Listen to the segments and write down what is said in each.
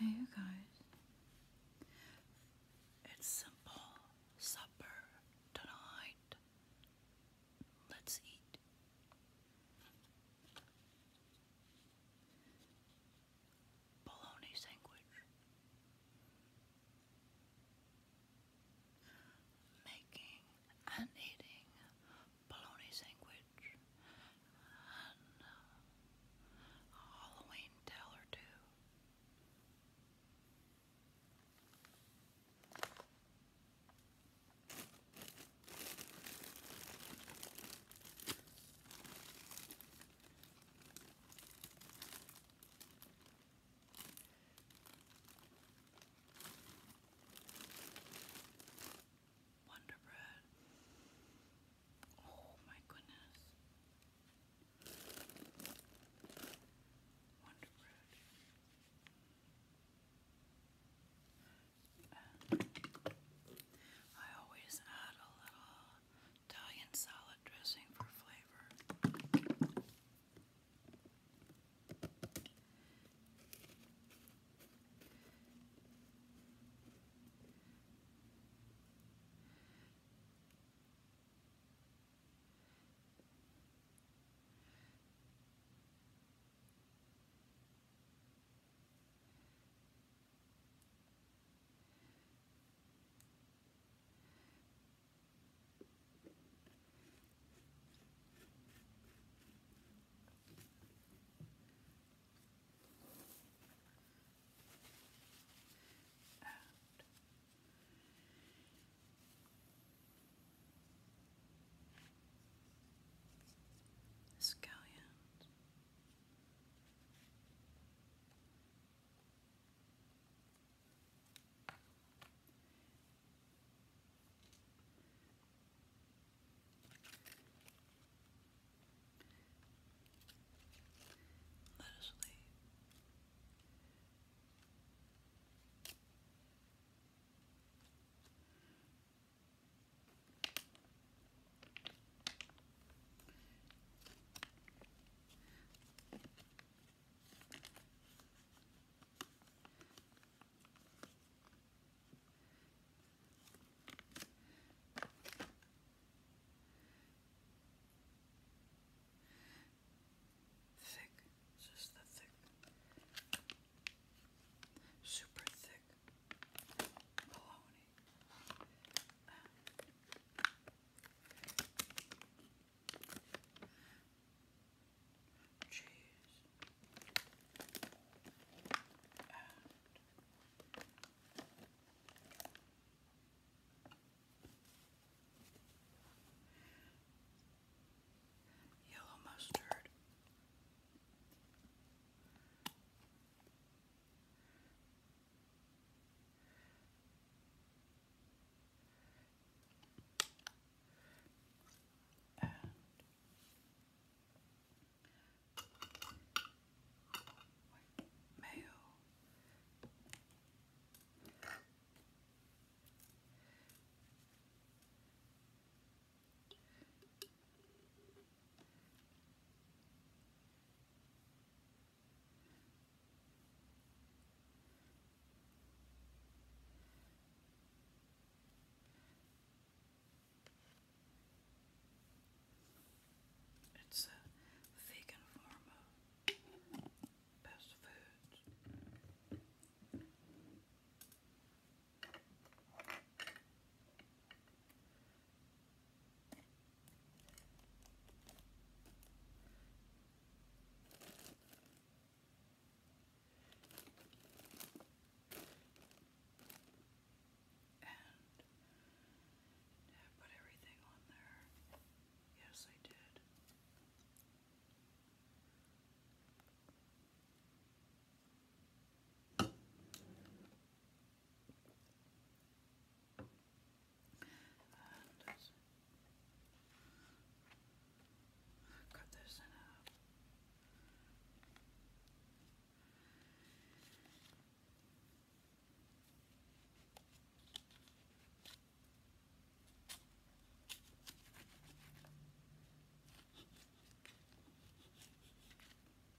Hey, you guys. It's simple supper tonight. Let's eat bologna sandwich. Making and eating bologna sandwich and a Halloween tale or two. Wonder Bread. Oh my goodness. Wonder I always add a little Italian salad dressing for flavor. Scallions let us leave. Thick, just the thick, super thick bologna. Um, cheese. And yellow mustard. And mayo. It's a vegan form of best foods. And did I put everything on there? Yes, I did. And cut this in half.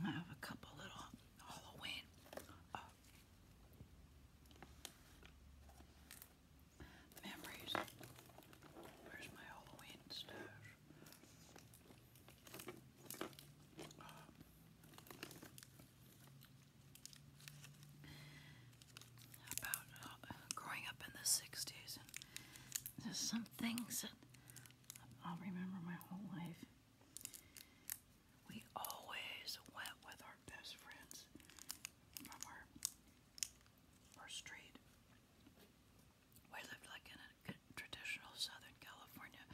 I have a couple little Halloween oh, Memories. Where's my Halloween stash? about uh, growing up in the 60s, there's some things that I'll remember my whole life we always went with our best friends from our, our street. We lived like in a traditional Southern California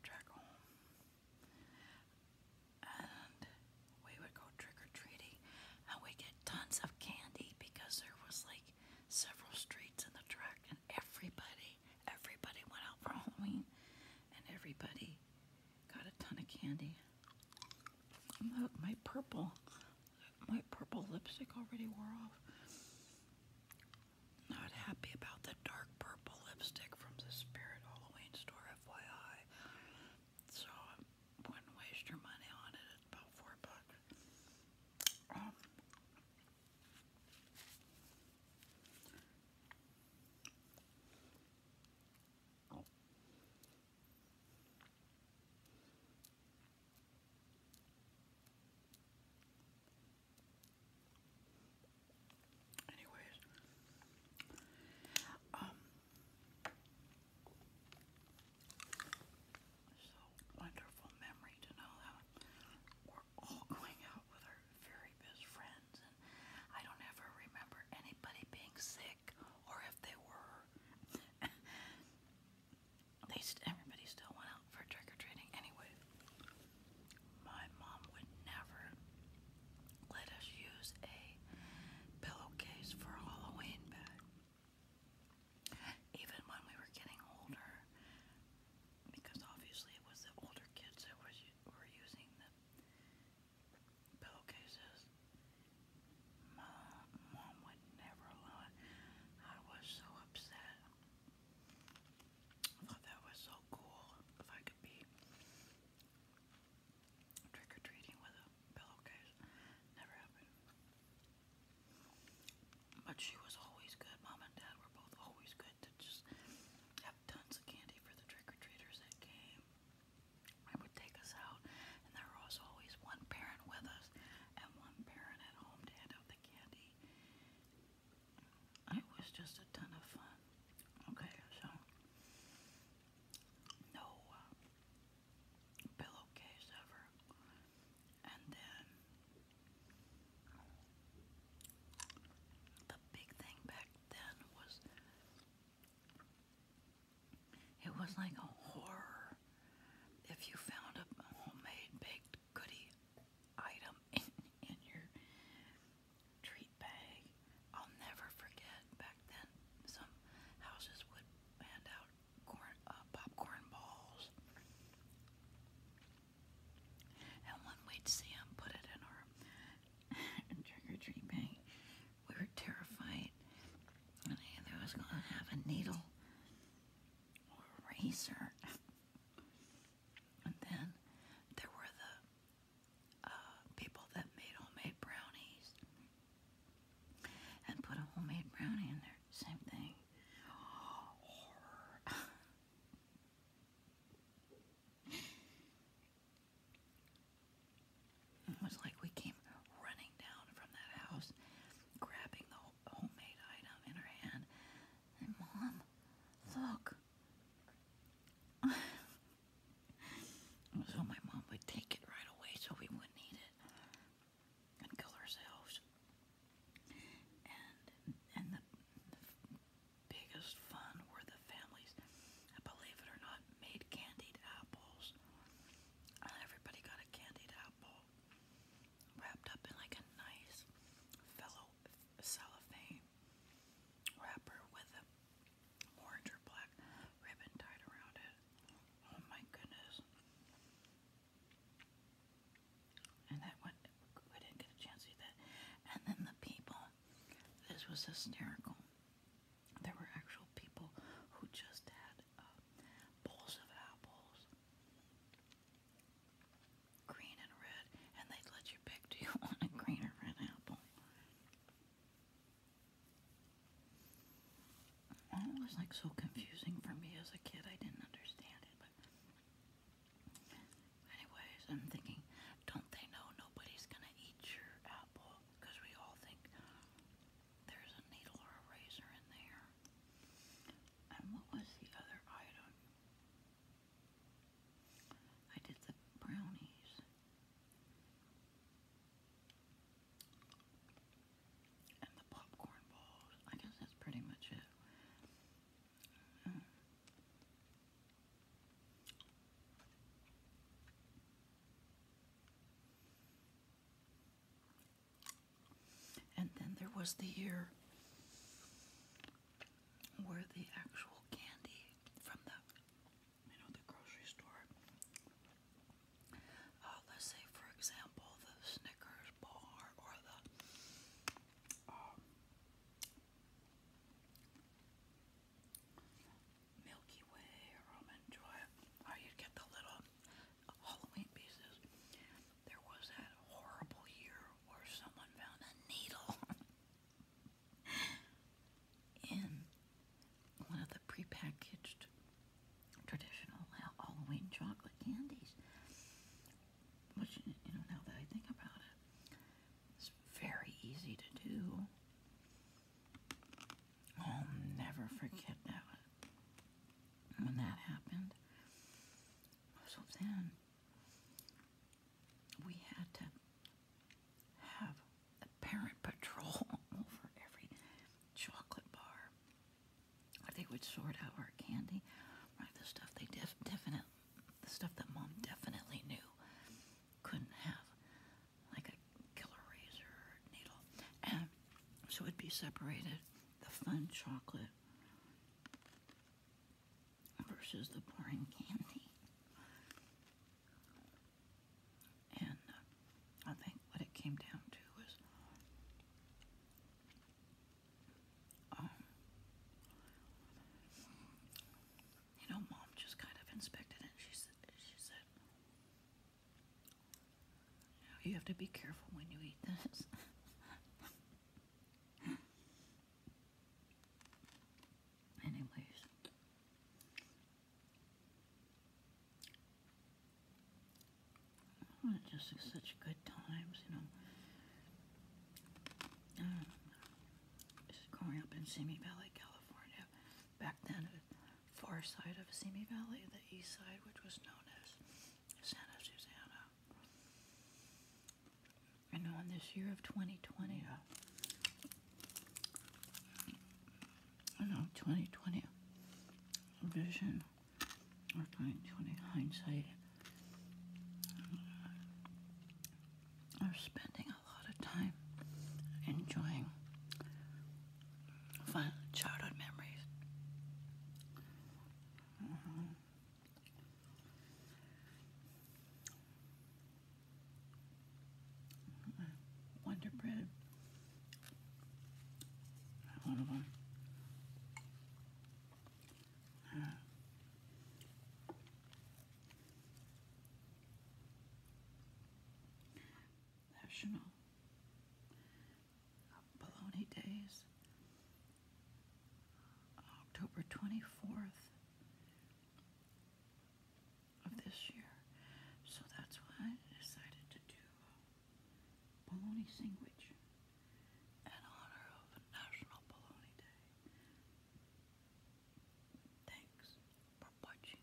track home. And we would go trick or treating and we get tons of candy because there was like several streets in the track and everybody, everybody went out for Halloween and everybody Got a ton of candy. my purple, my purple lipstick already wore off. Not happy about the dark purple lipstick from the Spirit Halloween store, FYI. So wouldn't waste your money on it. about four bucks. Um, Anyways, um, so wonderful memory to know that we're all going out with our very best friends. I don't ever remember anybody being sick, or if they were. they st everybody still went out for trick or treating anyway. My mom would never let us use a pillowcase for Halloween bag. Even when we were getting older, because obviously it was the older kids that was, were using the pillowcases. My mom would never allow it. I was so upset. I thought that was so cool if I could be trick or treating with a pillowcase. Never happened. But she was always good. Mom and dad were both always good just have tons of candy for the trick-or-treaters that came. It would take us out, and there was always one parent with us and one parent at home to hand the candy. It was just a ton of fun. Okay, so no uh, pillowcase ever. And then the big thing back then was it was like a horror if you found a homemade baked goodie item in, your treat bag. I'll never forget back then some houses would hand out corn uh, popcorn balls and when we'd put it in our trick or treat bag, we were terrified. And either was going to have a needle or and then there were the uh, people that made homemade brownies and put a homemade brownie in there. Same thing. horror. It was like we came running down from that house, grabbing the homemade item in her hand. And, Mom, look. so, my mom would take it right away so we wouldn't eat it and kill ourselves. And, and the biggest fun were the families, I believe it or not, made candied apples. And uh, everybody got a candied apple wrapped up in like a nice fellow cellophane wrapper with a orange or black ribbon tied around it. Oh my goodness and that went, we didn't get a chance to do that. And then the people, this was hysterical. There were actual people who just had uh, bowls of apples, green and red, and they let you pick do you want a green or red apple? Well, it was like so confusing for me as a kid, I didn't understand it, Anyways, I'm thinking, don't they know nobody's gonna eat your apple? Because we all think there's a needle or a razor in there. And what was the other item? I did the brownies. And the popcorn balls. I guess that's pretty much it. And then there was the year where the actual candy from the you know the grocery store uh, let's say for example the Snickers bar or the um, Milky Way or Joy, how you'd the little Halloween pieces. There was that horrible year where someone found a needle in one of the prepackaged traditional Halloween chocolate candies. But you, know, now that I think about it, it's very easy to do. I'll never forget that when that happened. So then we had to have a parent patrol over every chocolate bar or they would sort out our candy, like The stuff they definitely, the stuff that mom definitely knew couldn't have, like a killer razor needle. And so it'd be separated, the fun chocolate versus the boring candy. And uh, I think what it came down to was um, you know, mom just kind of inspected it. She said, you have to be careful when you eat this. Anyways, just such good times, you know. just growing up in Simi Valley, California, back then, far side of Simi Valley, the east side, which was known as Santa Susana. And on this year of 2020, uh, I know, 2020 vision or 2020 hindsight we are spending a lot of time enjoying fun childhood memories. Uh-huh. Wonder Bread. One of them. National Bologna Days, October 24th of this year. So that's why I decided to do bologna sandwich in honor of National Bologna Day. Thanks for watching.